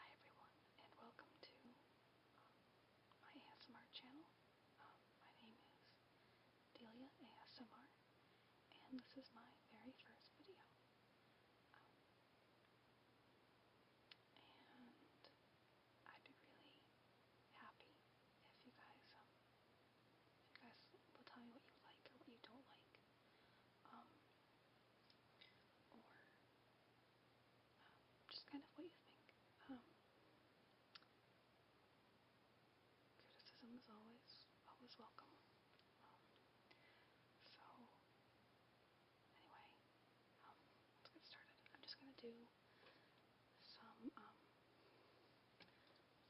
Hi everyone, and welcome to um, my ASMR channel. Um, my name is Delia ASMR, and this is my very first video. Um, and I'd be really happy if you guys, you guys will tell me what you like or what you don't like um, or um, just kind of what you think. Um, criticism is always always welcome. Um, so anyway, um, let's get started. I'm just gonna do some um,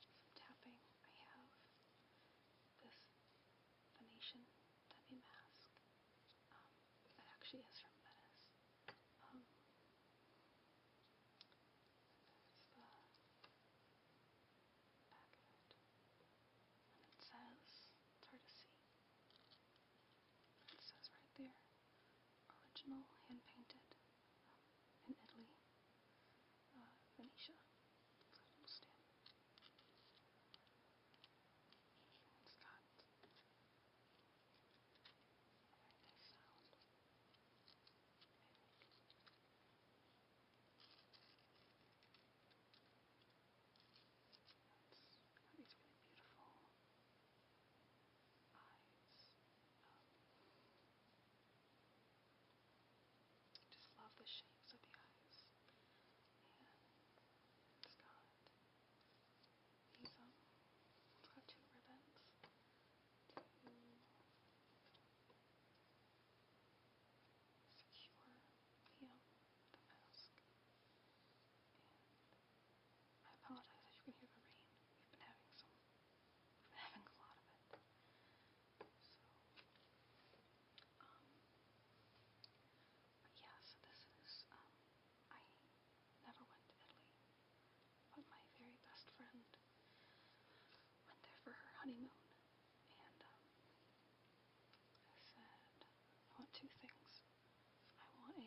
some tapping. I have this Venetian Debbie mask um, that actually is from Venice. Um, the back of it. it says, it's hard to see. It says right there, original hand painted in Italy, uh, Venetia, little a very nice It's got these really beautiful eyes. Um, just love the shapes of the eyes. And it's got has um, got two ribbons. Two secure the, mask. I apologize that you can hear the rain. We've been having some I'm having a lot of it. So, um, but yeah, so this is, um, I never went to Italy, but my very best friend went there for her honeymoon, and, um, I said, I want two things. I want a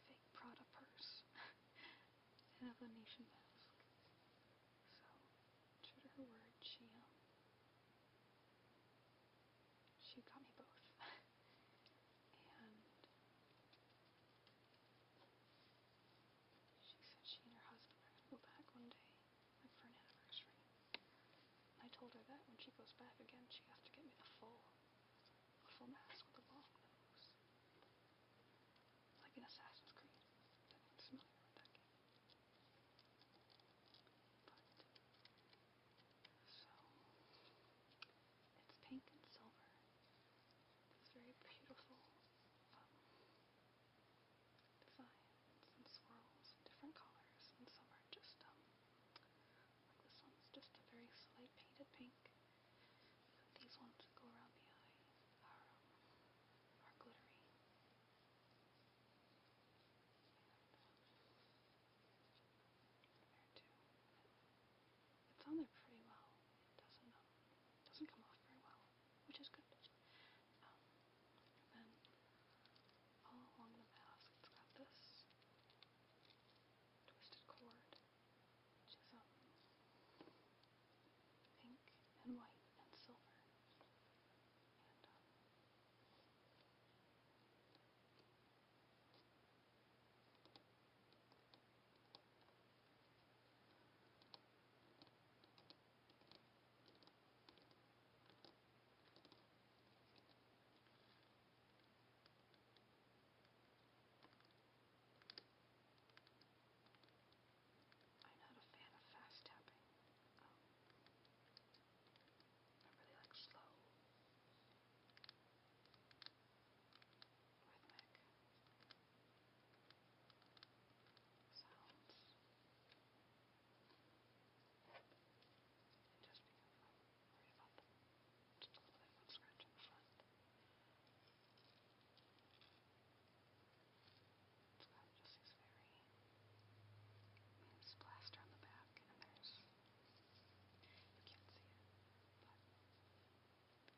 fake Prada purse and of mask. So, true to her word, she, um, she got me both. and she said she and her husband are going to go back one day, for an anniversary. I told her that when she goes back again, she has to get me the full Little mask with a long nose. Like in Assassin's Creed. That name's familiar with that game. But, so, it's pink and silver. It's very beautiful um, designs and swirls and different colors, and some are just, um, like this one's just a very slight painted pink. These ones go around the eye are, glittery. There too. It's on there pretty well. doesn't um, doesn't come off very well, which is good. Um, then all along the mask, it's got this twisted cord which is um, pink and white and silver. And um, I'm not a fan of fast tapping. Um, I really like slow, rhythmic sounds. And just become fun hurry up. Just a little bit of scratch on the front. It's got just these very it's plaster on the back and there's you can't see it, but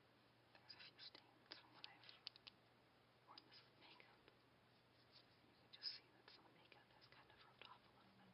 there's a few stains from when I've worn this makeup. You can just see that some makeup has kind of rubbed off a little bit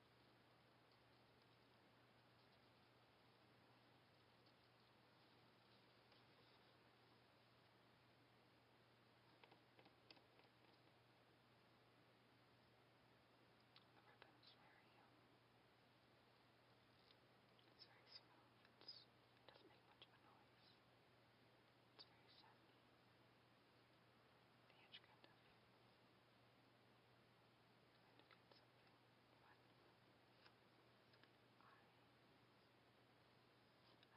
The ribbon's very, um, it's very smooth. It's, it doesn't make much of a noise. It's very satin. The edge cut up. I love this one, it's scary. Um, I hope you like it. I hope it makes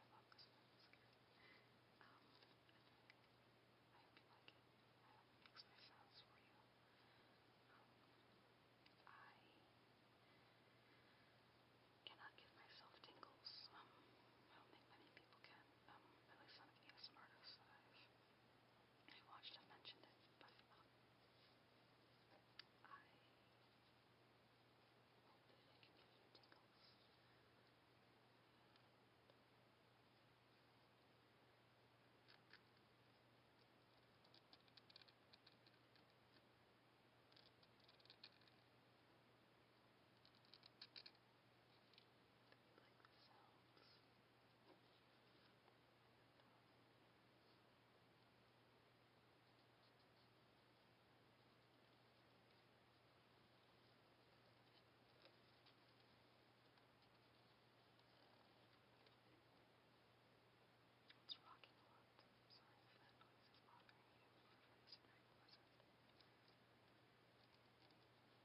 my sounds for you. Um, I cannot give myself tingles. Um, I don't think many people can. Um, at least not an ASMR artist that I've I watched, I've it, but I hope that can give you tingles. Like the it's rocking a lot. I'm sorry if that noise is bothering you for listening.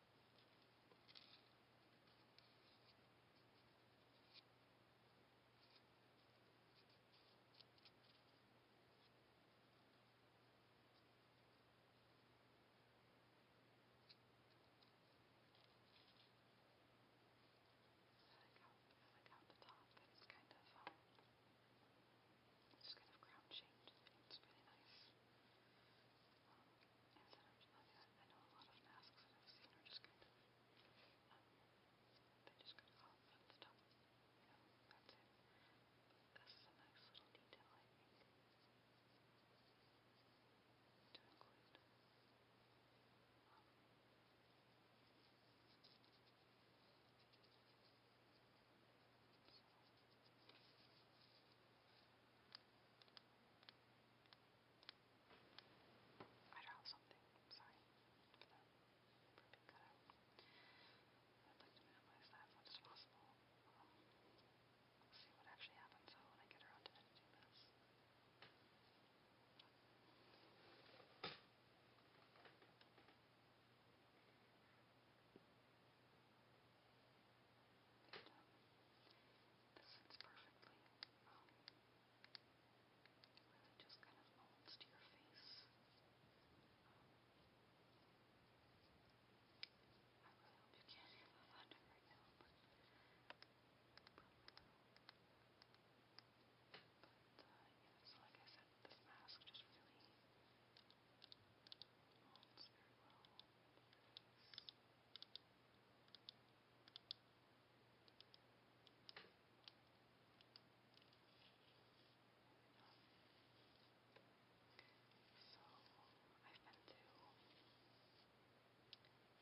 Like out, like out the top, but it's kind of, um, it's kind of crown shaped. It's really nice. Um, and sometimes, I, I know a lot of masks that I've seen are just kind of, um, they just kind of fall off the top, you know, that's it. But this is a nice little detail, I think, to include. Um, so. I dropped something. Sorry for the for being cut out. I'd like to minimize that as much as possible. we'll um, see what actually happens when I get around to editing this. This fits perfectly. Um, just kind of molds to your face. I really hope you can't hear the thunder right now, but yeah, so like I said, this mask just really molds very well. So, so I've been to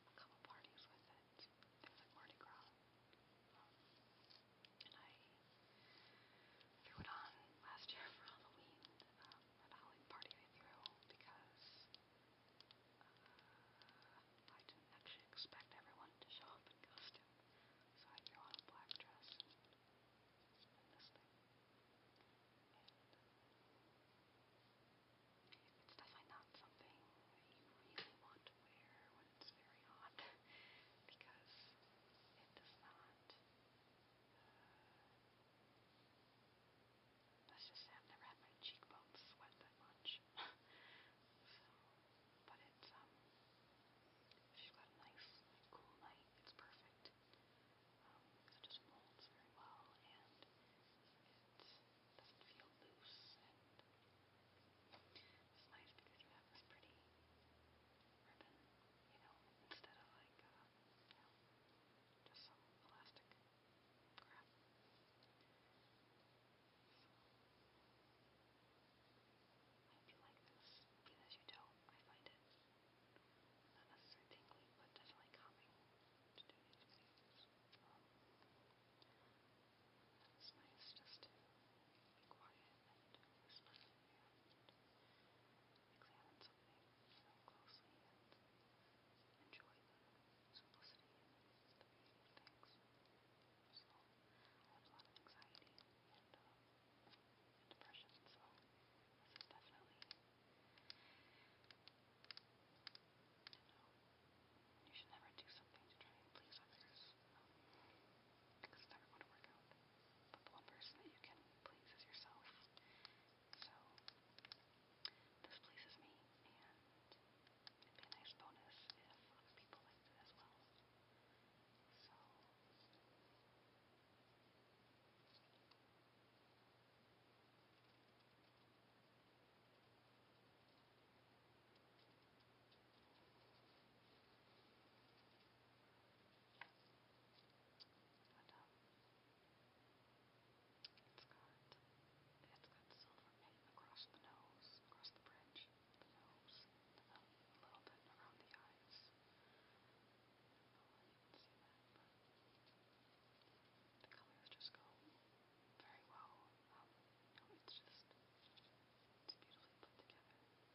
a couple parties with it. Things like Mardi Gras. and I threw it on last year for Halloween. Um, uh, like party I threw because I didn't actually expect everyone to show up in costume. So I threw on a black dress it's definitely not something you really want to wear when it's very hot because it does not uh, that's just I've never had my cheekbones sweat that much. so, but it's um, if you've got a nice, cool night, it's perfect. Um, it just molds very well and it doesn't feel loose it's nice because you have this pretty ribbon, you know, instead of like. Uh, um, you know, just some elastic crap. So, I hope you like this. Even as you don't, I find it not necessarily tingly, but definitely calming to do these videos. Um, it's nice just to be quiet and whisper. And examine something so closely and enjoy the simplicity and the beauty of things. So I have a lot of anxiety and, um, and depression, so this is definitely, you know, you should never do something to try and please others. Um, because it's never going to work out. But the one person that you can please is yourself. So this pleases me, and it'd be a nice bonus if people liked it as well. So but, um, it's got, it's got silver paint across the nose, across the bridge, the nose, um, a little bit around the eyes. I don't know where you can see that, but the colors just go very well. Um, you know, it's just, it's beautifully put together. Um,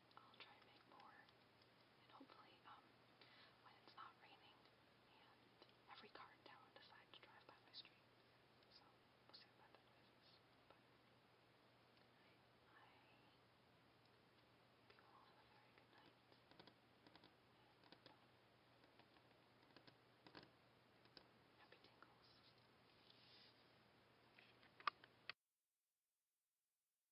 I'll try to make more. And hopefully, um, when it's not raining and every car in town decides to drive by my street. So, we'll see about that But I hope you have a very good night. Um, happy tingles.